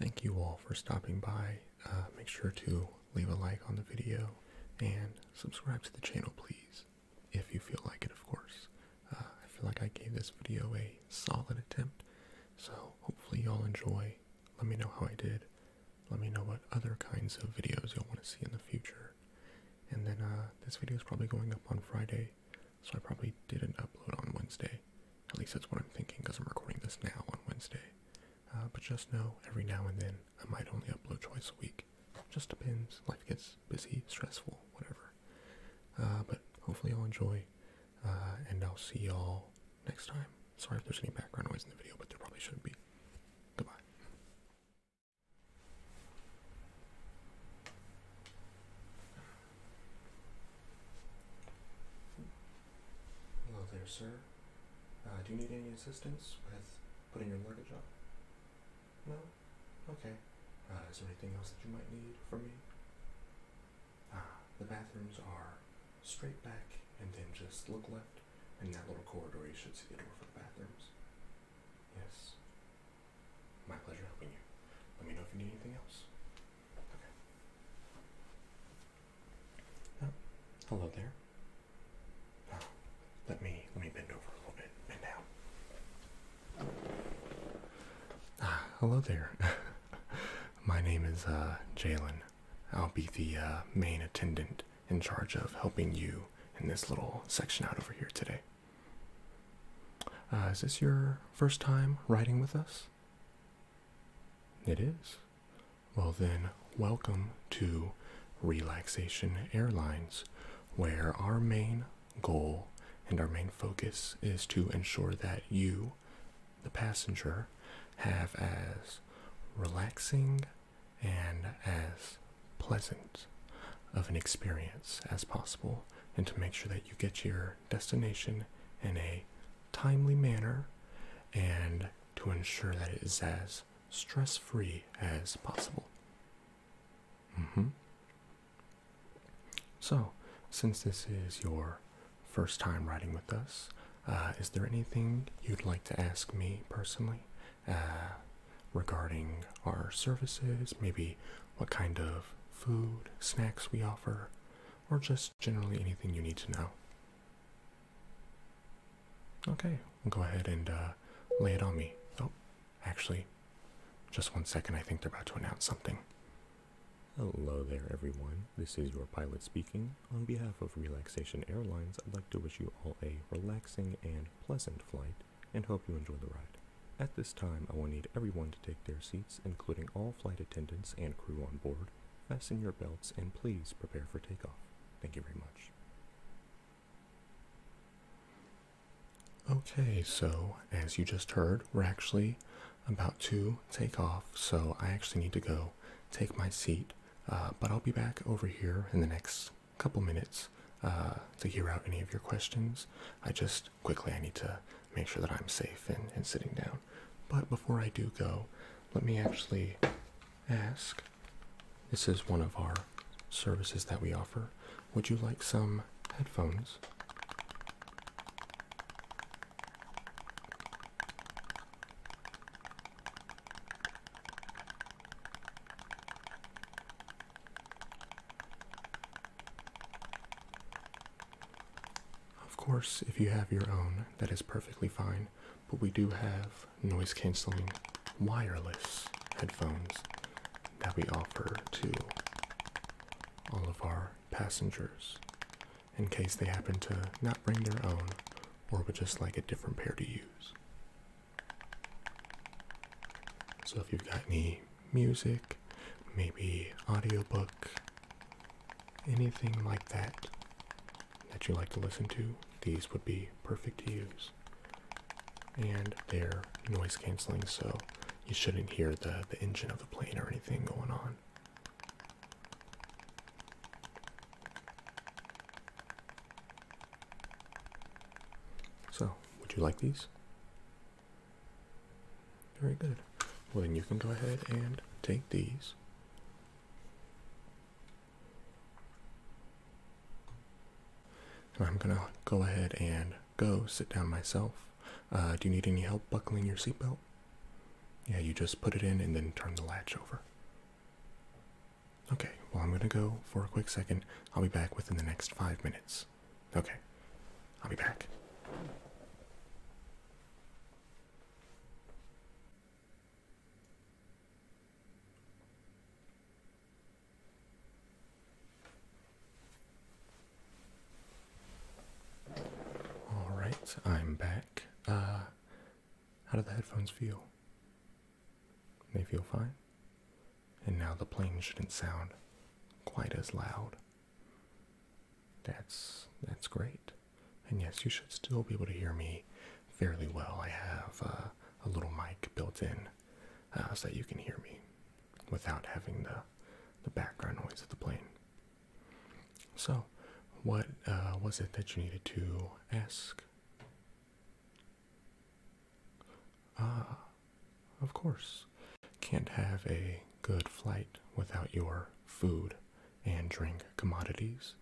Thank you all for stopping by. Uh, make sure to leave a like on the video and subscribe to the channel, please, if you feel like it, of course. Uh, I feel like I gave this video a solid attempt, so hopefully y'all enjoy. Let me know how I did. Let me know what other kinds of videos you'll want to see in the future. And then uh, this video is probably going up on Friday, so I probably didn't upload on Wednesday. At least that's what I'm thinking because I'm recording this now on Wednesday. Uh, but just know every now and then I might only upload twice a week. Just depends. Life gets busy, stressful, whatever. Uh, but hopefully I'll enjoy, uh, and I'll see y'all next time. Sorry if there's any background noise in the video, but there probably shouldn't be. Goodbye. Hello there, sir. Uh, do you need any assistance with putting your luggage on? No? Okay. Uh, is there anything else that you might need from me? Ah, the bathrooms are straight back and then just look left, and that little corridor you should see the door for the bathrooms. Yes. My pleasure helping you. Let me know if you need anything else hello there. Uh, let me let me bend over a little bit. Bend down. Ah, hello there. My name is uh, Jalen. I'll be the uh, main attendant in charge of helping you in this little section out over here today. is this your first time riding with us? It is. Well, then, welcome to Relaxation Airlines, where our main goal and our main focus is to ensure that you, the passenger, have as relaxing and as pleasant of an experience as possible, and to make sure that you get your destination in a timely manner and to ensure that it is as stress free as possible. Mm-hmm. So, since this is your first time riding with us, uh, is there anything you'd like to ask me personally uh, regarding our services? Maybe what kind of food, snacks we offer, or just generally anything you need to know. Okay, go ahead and uh, lay it on me. Oh, actually, just one second. I think they're about to announce something. Hello there, everyone. This is your pilot speaking. On behalf of Relaxation Airlines, I'd like to wish you all a relaxing and pleasant flight and hope you enjoy the ride. At this time, I will need everyone to take their seats, including all flight attendants and crew on board, fasten your belts and please prepare for takeoff. Thank you very much. Okay, so as you just heard, we're actually about to take off, so I actually need to go take my seat, uh, but I'll be back over here in the next couple minutes uh, to hear out any of your questions. I just quickly. I need to make sure that I'm safe and, sitting down. But before I do go, let me actually ask this is one of our services that we offer. Would you like some headphones? Of course, if you have your own, that is perfectly fine, but we do have noise canceling wireless headphones that we offer to all of our passengers in case they happen to not bring their own or would just like a different pair to use. So if you've got any music, maybe audiobook, anything like that that you like to listen to, these would be perfect to use. And they're noise canceling, so you shouldn't hear the, the engine of the plane or anything going on. So, would you like these? Very good. Well, then you can go ahead and take these. I'm going to go ahead and go sit down myself. Uh, do you need any help buckling your seatbelt? Yeah, you just put it in and then turn the latch over. Okay, well, I'm going to go for a quick second. I'll be back within the next five minutes. Okay, I'll be back. All right, I'm back. Uh, how do the headphones feel? They feel fine. And now the plane shouldn't sound quite as loud. That's that's great. And yes, you should still be able to hear me fairly well. I have uh, a little mic built in uh, so that you can hear me without having the the background noise of the plane. So, what uh, was it that you needed to ask? Ah, of course. Can't have a good flight without your food and drink commodities.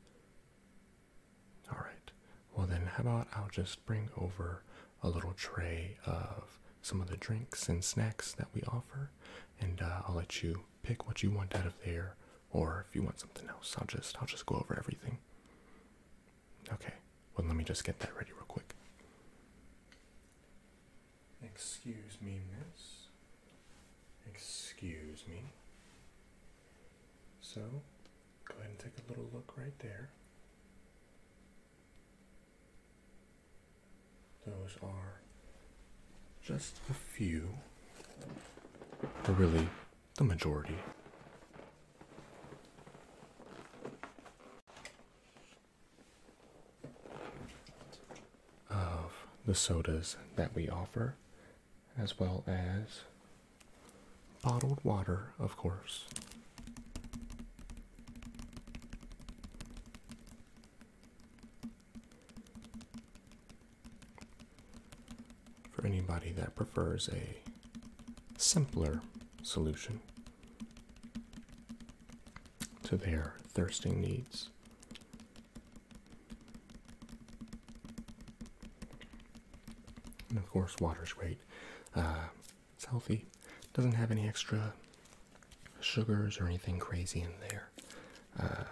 Alright, well then, how about I'll just bring over a little tray of some of the drinks and snacks that we offer, and uh, I'll let you pick what you want out of there, or if you want something else, I'll just I'll just go over everything. Okay, well let me just get that ready real quick. Excuse me, miss. Excuse me. So, go ahead and take a little look right there. Those are just a few, or really the majority of the sodas that we offer, as well as bottled water, of course. For anybody that prefers a simpler solution, to their thirsting needs. And of course, water's great. Uh, it's healthy, doesn't have any extra sugars or anything crazy in there uh,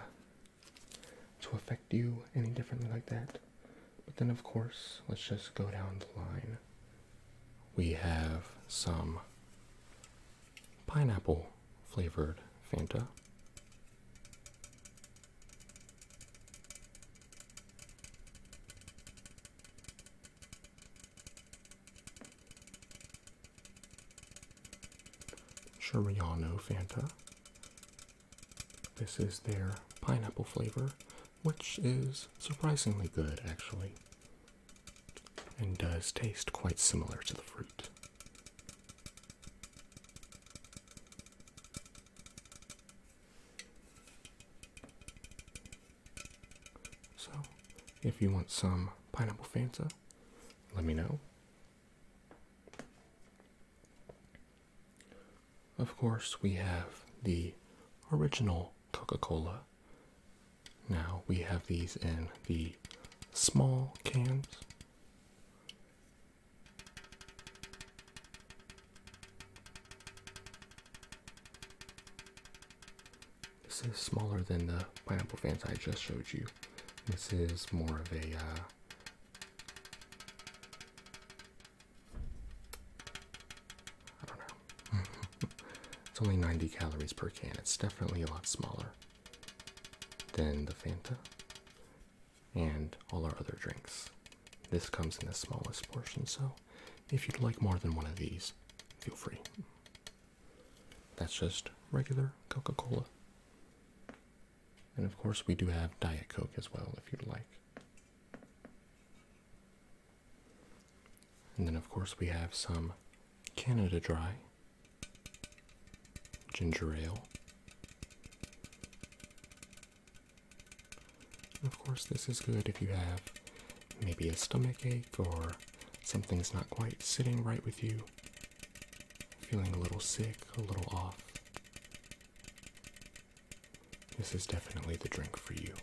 to affect you any differently like that. But then, of course, let's just go down the line we have some pineapple flavored Fanta. Chiriano Fanta. This is their pineapple flavor, which is surprisingly good actually and does taste quite similar to the fruit. So, if you want some pineapple Fanta, let me know. Of course, we have the original Coca Cola now we have these in the small cams. This is smaller than the pineapple fans I just showed you. This is more of a uh, I don't know. it's only 90 calories per can. It's definitely a lot smaller than the Fanta and all our other drinks. This comes in the smallest portion, so if you'd like more than one of these, feel free. That's just regular Coca Cola. And of course, we do have Diet Coke as well if you'd like. And then, of course, we have some Canada Dry ginger ale. of course, this is good if you have maybe a stomach ache or something's not quite sitting right with you, feeling a little sick, a little off. This is definitely the drink for you.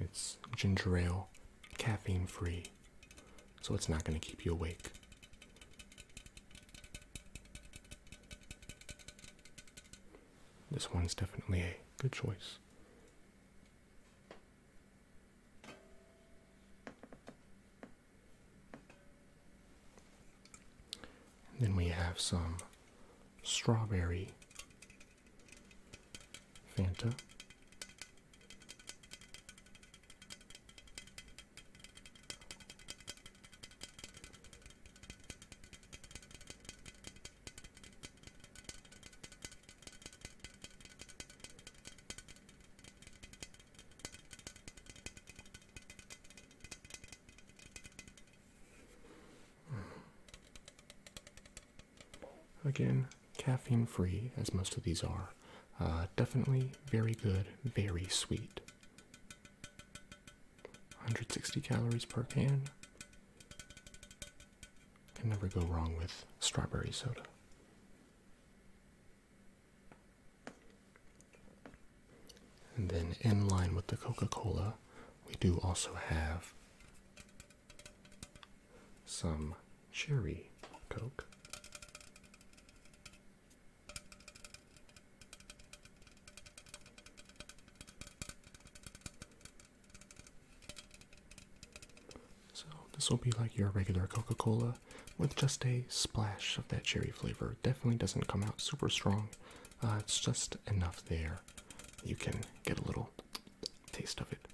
It's ginger ale, caffeine free, so it's not going to keep you awake. This one's definitely a good choice. And then we have some strawberry Fanta. Again, caffeine free, as most of these are. Uh, definitely very good, very sweet. 160 calories per can. Can never go wrong with strawberry soda. And then in line with the Coca-Cola, we do also have some cherry Coke. So, this will be like your regular Coca Cola with just a splash of that cherry flavor. Definitely doesn't come out super strong. Uh, it's just enough there. You can get a little taste of it.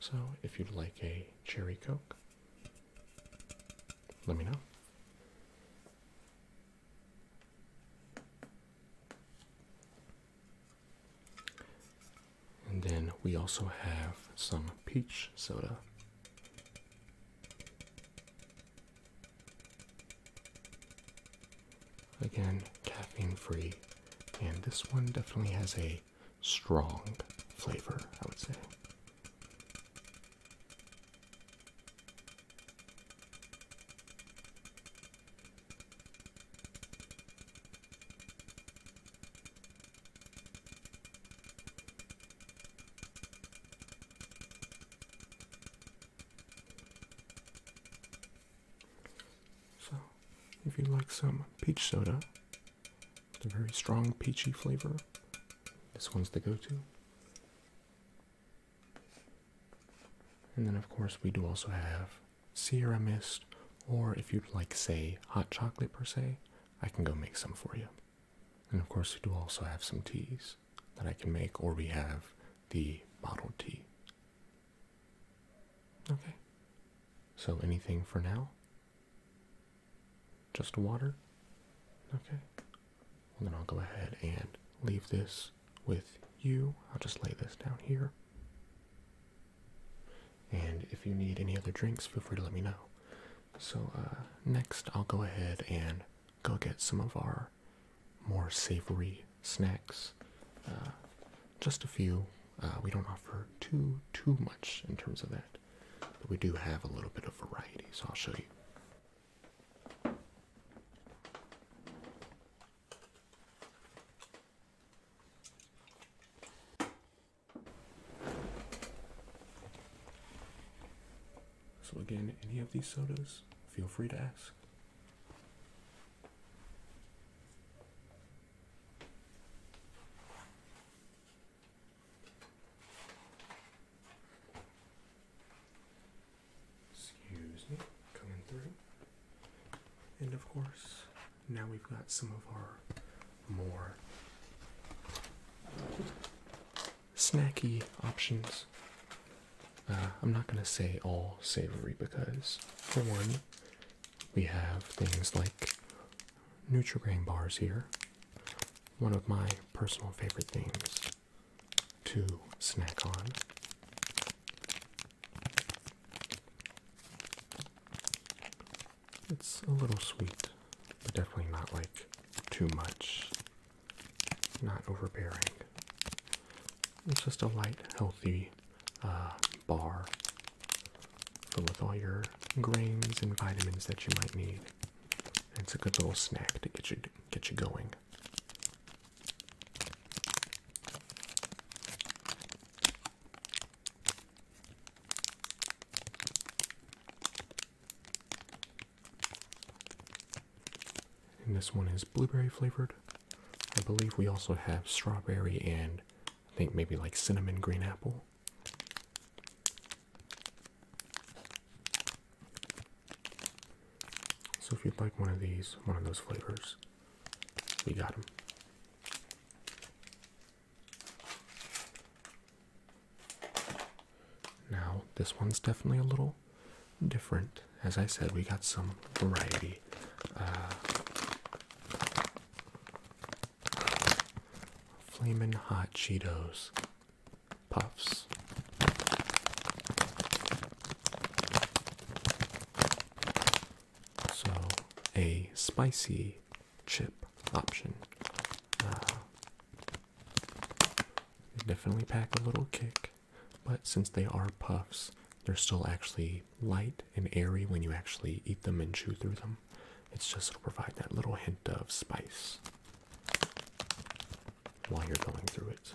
So, if you'd like a cherry coke, let me know. And then we also have some peach soda. Again, caffeine free. And this one definitely has a strong flavor, I would say. So, if you'd like some peach soda, with a very strong peachy flavor, this one's the go to. And then, of course, we do also have Sierra Mist, or if you'd like, say, hot chocolate per se, I can go make some for you. And of course, we do also have some teas that I can make, or we have the bottled tea. Okay. So, anything for now? Just water? Okay. Well, then I'll go ahead and leave this with you. I'll just lay this down here. And if you need any other drinks, feel free to let me know. So, uh, next I'll go ahead and go get some of our more savory snacks. Uh, just a few. Uh, we don't offer too, too much in terms of that. But we do have a little bit of variety, so I'll show you. So again, any of these sodas, feel free to ask. Excuse me, coming through. And of course, now we've got some of our more snacky options. Uh, I'm not going to say all savory because, for one, we have things like Nutrigrain bars here. One of my personal favorite things to snack on. It's a little sweet, but definitely not like too much, not overbearing. It's just a light, healthy uh, bar filled with all your grains and vitamins that you might need. It's a good little snack to get you get you going. And this one is blueberry flavored. I believe we also have strawberry and I think maybe like cinnamon green apple. So if you'd like one of these, one of those flavors, we got them. Now, this one's definitely a little different. As I said, we got some variety. Uh, Flamin' Hot Cheetos Puffs. So, a spicy chip option. Uh, definitely pack a little kick, but since they are puffs, they're still actually light and airy when you actually eat them and chew through them. It's just to provide that little hint of spice while you're going through it.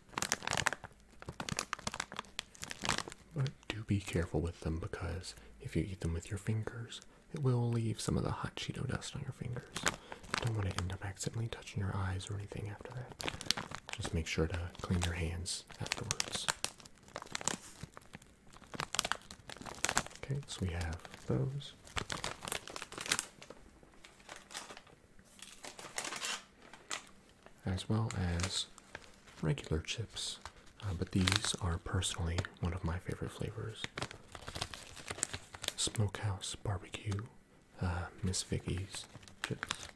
But do be careful with them because if you eat them with your fingers, it will leave some of the hot Cheeto dust on your fingers. Don't want to end up accidentally touching your eyes or anything after that. Just make sure to clean your hands afterwards. Okay, so we have those as well as regular chips, uh, but these are personally one of my favorite flavors. Smokehouse barbecue, uh, Miss Vicky's chips.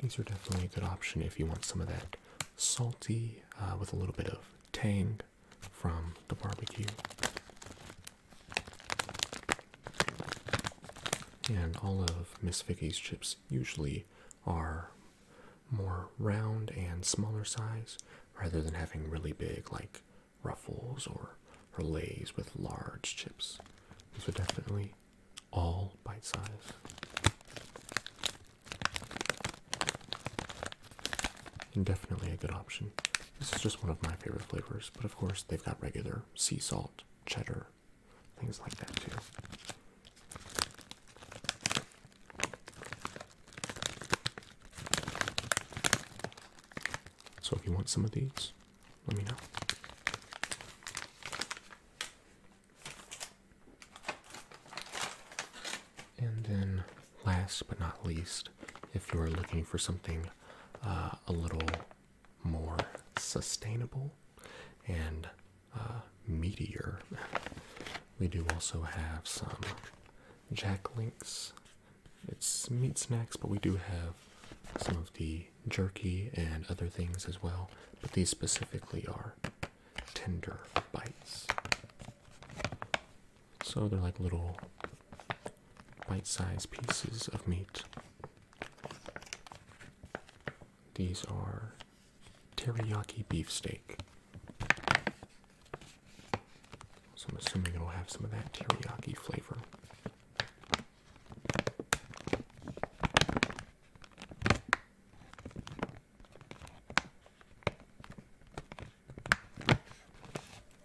These are definitely a good option if you want some of that salty uh, with a little bit of tang from the barbecue. And all of Miss Vicky's chips usually are more round and smaller size rather than having really big like ruffles or, or lays with large chips. These are definitely all bite size. And definitely a good option. This is just one of my favorite flavors, but of course they've got regular sea salt, cheddar, things like that too. So if you want some of these, let me know. And then, last but not least, if you're looking for something uh, a little more sustainable and uh, meteor, we do also have some Jack Links. It's meat snacks, but we do have some of the jerky and other things as well, but these specifically are tender bites. So they're like little bite sized pieces of meat. These are teriyaki beef steak. So I'm assuming it'll have some of that teriyaki flavor.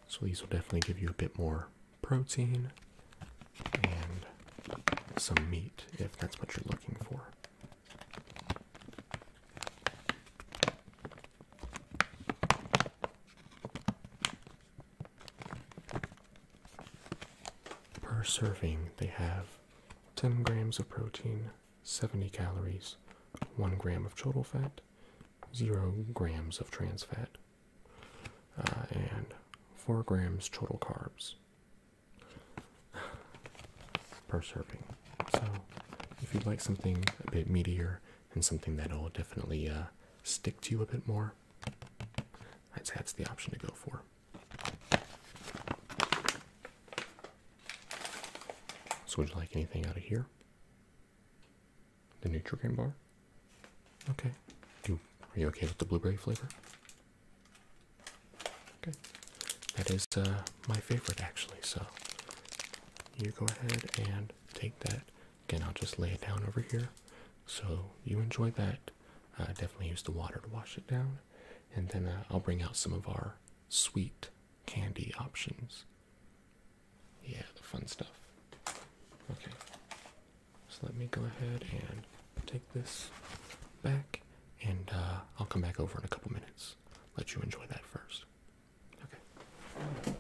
So these will definitely give you a bit more protein and some meat if that's what you're looking for. Per serving, they have 10 grams of protein, 70 calories, 1 gram of total fat, 0 grams of trans fat, uh, and 4 grams total carbs per serving. So, if you'd like something a bit meatier and something that'll definitely uh, stick to you a bit more, i that's the option to go for. So would you like anything out of here? The Nutrigrain bar? Okay. are you okay with the blueberry flavor? Okay. That is uh, my favorite actually, so you go ahead and take that Again, I'll just lay it down over here. So you enjoy that. Uh, definitely use the water to wash it down. And then uh, I'll bring out some of our sweet candy options. Yeah, the fun stuff. Okay. So let me go ahead and take this back. And uh, I'll come back over in a couple minutes. Let you enjoy that first. Okay.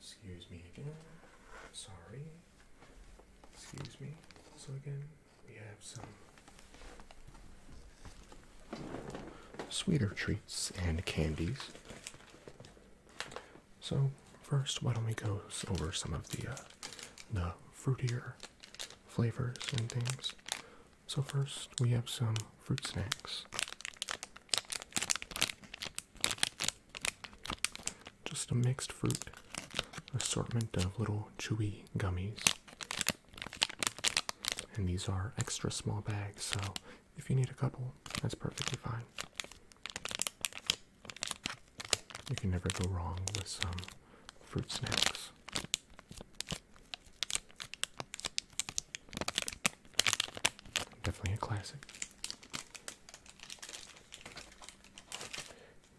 Excuse me again. Sorry. Excuse me. So again, we have some sweeter treats and candies. So first, why don't we go over some of the uh, the fruitier flavors and things. So, first we have some fruit snacks. Just a mixed fruit assortment of little chewy gummies. And these are extra small bags, so if you need a couple, that's perfectly fine. You can never go wrong with some fruit snacks. Definitely a classic.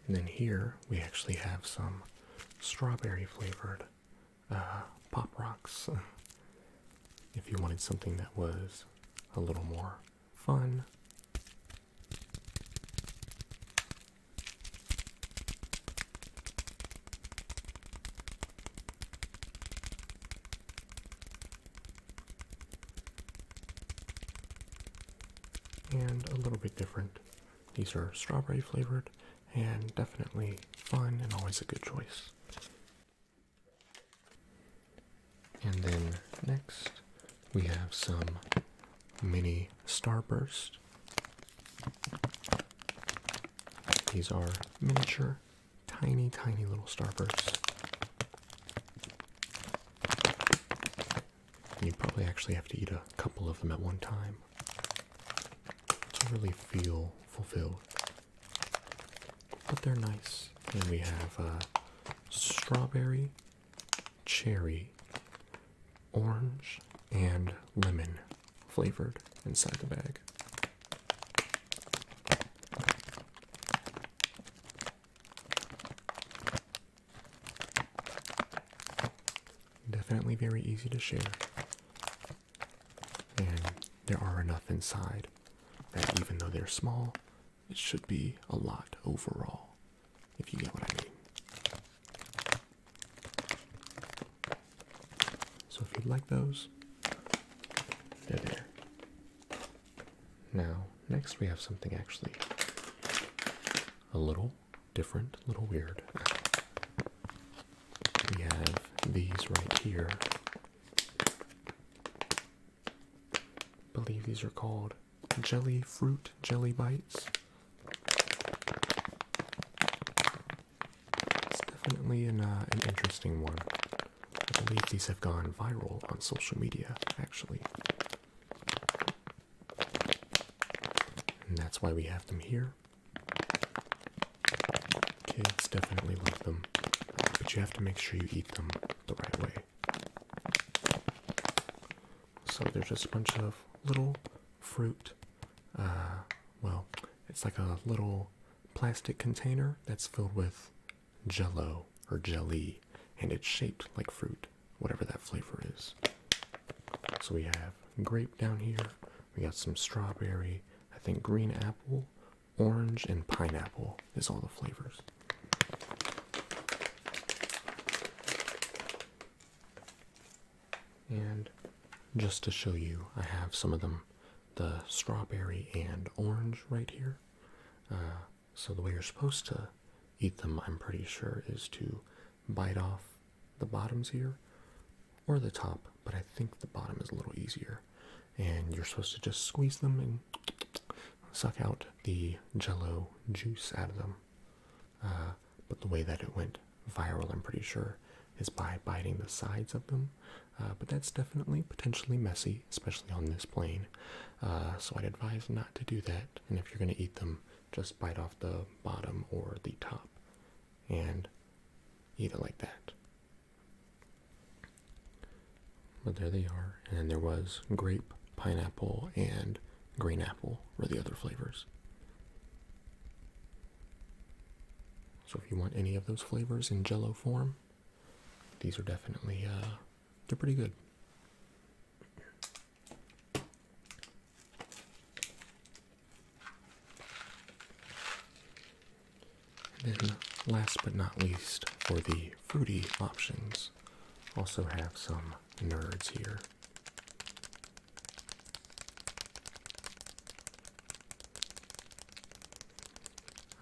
And then here we actually have some strawberry flavored uh, Pop Rocks. If you wanted something that was a little more fun, and a little bit different. These are strawberry flavored and definitely fun and always a good choice. And then next we have some mini starburst. These are miniature, tiny, tiny little starbursts. You probably actually have to eat a couple of them at one time to really feel fulfilled. But they're nice. And we have uh, strawberry cherry, orange, and lemon flavored inside the bag. Definitely very easy to share. And there are enough inside that even though they're small, it should be a lot overall if you get what I mean. So if you'd like those, they're there. Now, next we have something actually a little different, a little weird. We have these right here. believe these are called jelly fruit jelly bites. It's definitely an uh, an interesting one. I believe these have gone viral on social media, actually. And that's why we have them here. Kids definitely love them, but you have to make sure you eat them the right way. So there's just a bunch of little fruit. Uh, well, it's like a little plastic container that's filled with jello or jelly, and it's shaped like fruit, whatever that flavor is. So we have grape down here, we got some strawberry, I think green apple, orange, and pineapple is all the flavors. And just to show you, I have some of them the strawberry and orange right here. Uh, so, the way you're supposed to eat them, I'm pretty sure, is to bite off the bottoms here or the top, but I think the bottom is a little easier. And you're supposed to just squeeze them and suck out the jello juice out of them. Uh, but the way that it went viral, I'm pretty sure, is by biting the sides of them. Uh, but that's definitely potentially messy, especially on this plane. Uh, so I'd advise not to do that. And if you're going to eat them, just bite off the bottom or the top and eat it like that. But there they are. And there was grape, pineapple, and green apple, or the other flavors. So if you want any of those flavors in jello form, these are definitely uh, they're pretty good. And then last but not least for the fruity options, also have some nerds here.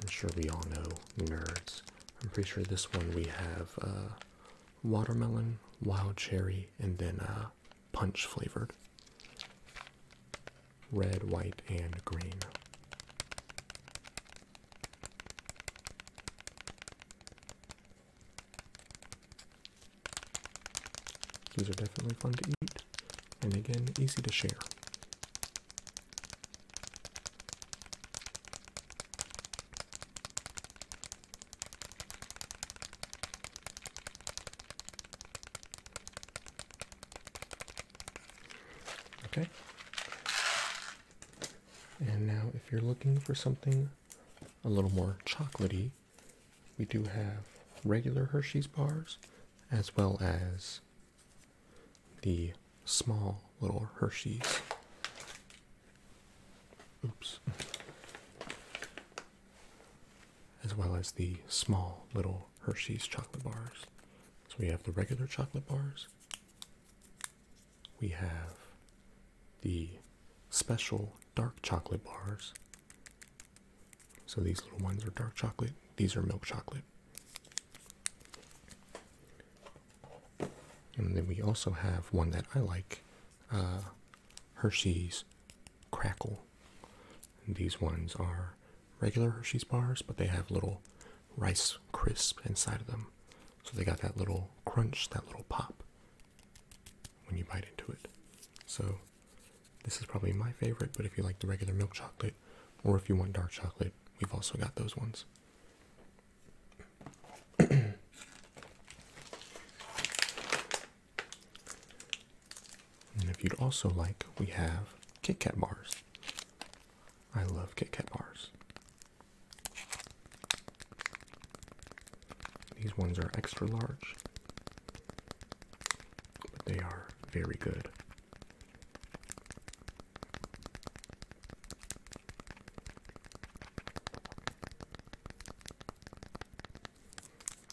I'm sure we all know nerds. I'm pretty sure this one we have uh, watermelon, wild cherry, and then uh, punch flavored. Red, white, and green. These are definitely fun to eat and again easy to share. Okay. And now if you're looking for something a little more chocolatey, we do have regular Hershey's bars as well as the small little Hershey's. Oops. As well as the small little Hershey's chocolate bars. So we have the regular chocolate bars we have the special dark chocolate bars. So these little ones are dark chocolate, these are milk chocolate. And then we also have one that I like uh, Hershey's Crackle. these ones are regular Hershey's bars, but they have little rice crisp inside of them. So they got that little crunch, that little pop when you bite into it. So, this is probably my favorite, but if you like the regular milk chocolate or if you want dark chocolate, we've also got those ones. and if you'd also like, we have Kit Kat bars. I love Kit Kat bars. These ones are extra large, but they are very good.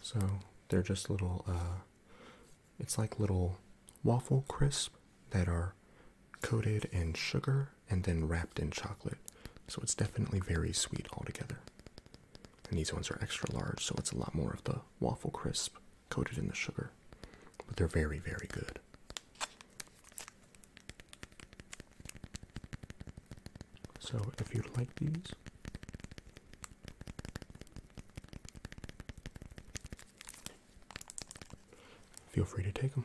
So they're just little, uh, it's like little waffle crisp that are coated in sugar and then wrapped in chocolate. So it's definitely very sweet altogether. And these ones are extra large, so it's a lot more of the waffle crisp coated in the sugar. But they're very, very good. So if you like these, feel free to take them.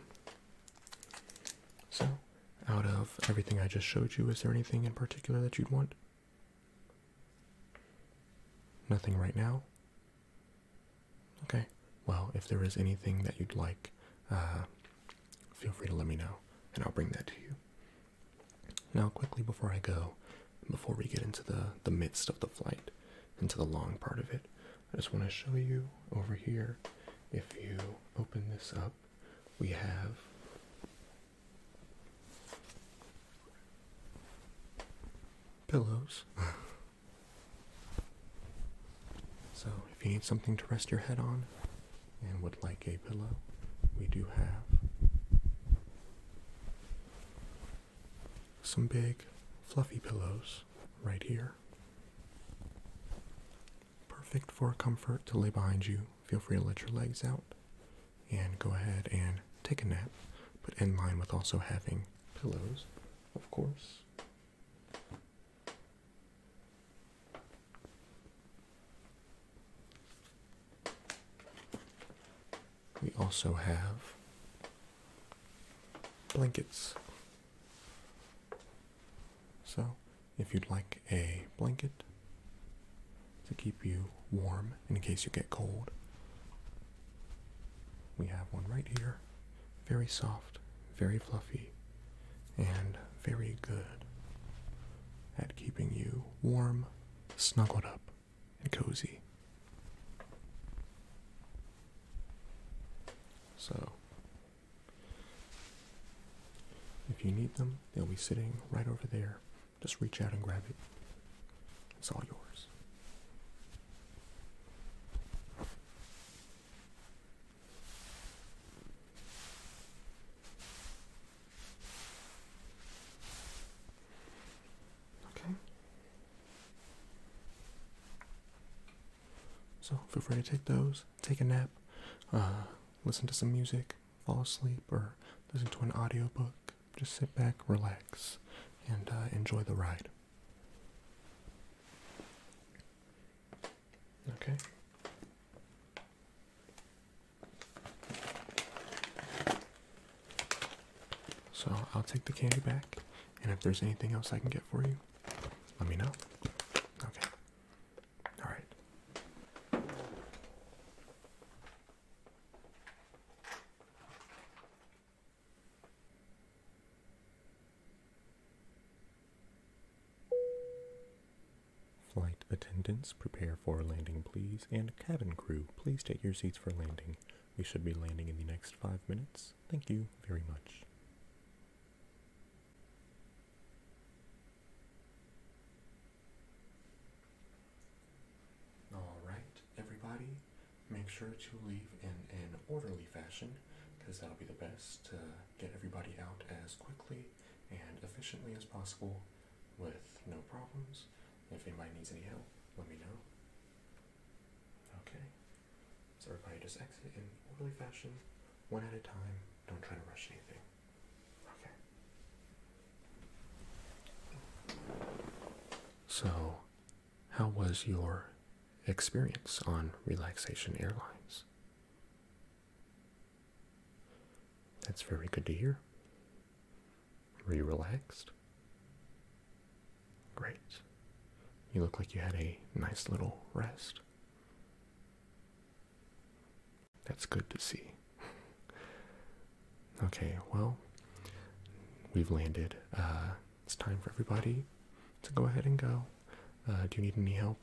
So out of everything I just showed you, is there anything in particular that you'd want? Nothing right now? Okay. Well, if there is anything that you'd like, uh, feel free to let me know, and I'll bring that to you. Now, quickly before I go, before we get into the, the midst of the flight, into the long part of it, I just want to show you over here. If you open this up, we have pillows. so, if you need something to rest your head on and would like a pillow, we do have some big fluffy pillows right here. Perfect for comfort to lay behind you. Feel free to let your legs out and go ahead and take a nap, but in line with also having pillows, of course. We also have blankets so, if you'd like a blanket to keep you warm in case you get cold, we have one right here. Very soft, very fluffy, and very good at keeping you warm, snuggled up, and cozy. So, if you need them, they'll be sitting right over there. Just reach out and grab it. It's all yours. Okay. So feel free to take those, take a nap, uh, listen to some music, fall asleep, or listen to an audio book. Just sit back, relax, and uh, enjoy the ride. Okay. So I'll take the candy back, and if there's anything else I can get for you, let me know. Okay. All right. Flight attendants, prepare for landing, please. And cabin crew, please take your seats for landing. We should be landing in the next five minutes. Thank you very much. Alright, everybody, make sure to leave in an orderly fashion because that'll be the best to get everybody out as quickly and efficiently as possible with no problems. If anybody needs any help, let me know. Okay, so everybody just exit in orderly fashion, one at a time. Don't try to rush anything. Okay. So, how was your experience on Relaxation Airlines? That's very good to hear. Were you relaxed? Great. You look like you had a nice little rest. That's good to see. okay, well, we've landed. Uh, it's time for everybody to go ahead and go. Uh, do you need any help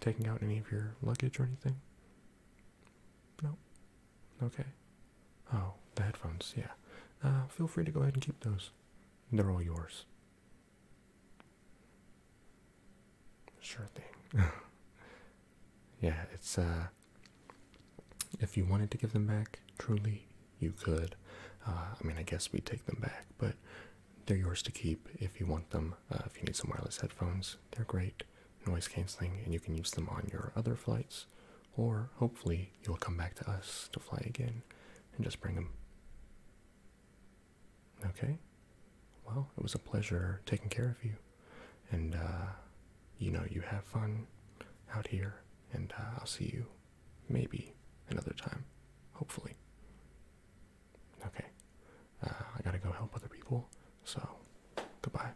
taking out any of your luggage or anything? No? Okay. Oh, the headphones, yeah. Uh, feel free to go ahead and keep those. They're all yours. Sure thing. yeah, it's uh if you wanted to give them back, truly you could. Uh, I mean, I guess we take them back, but they're yours to keep if you want them. Uh, if you need some wireless headphones, they're great, noise canceling, and you can use them on your other flights. Or hopefully, you'll come back to us to fly again and just bring them. Okay? Well, it was a pleasure taking care of you. And, uh, you know, you have fun out here. And uh, I'll see you maybe another time. Hopefully. Okay. Uh, I gotta go help other people. So, goodbye.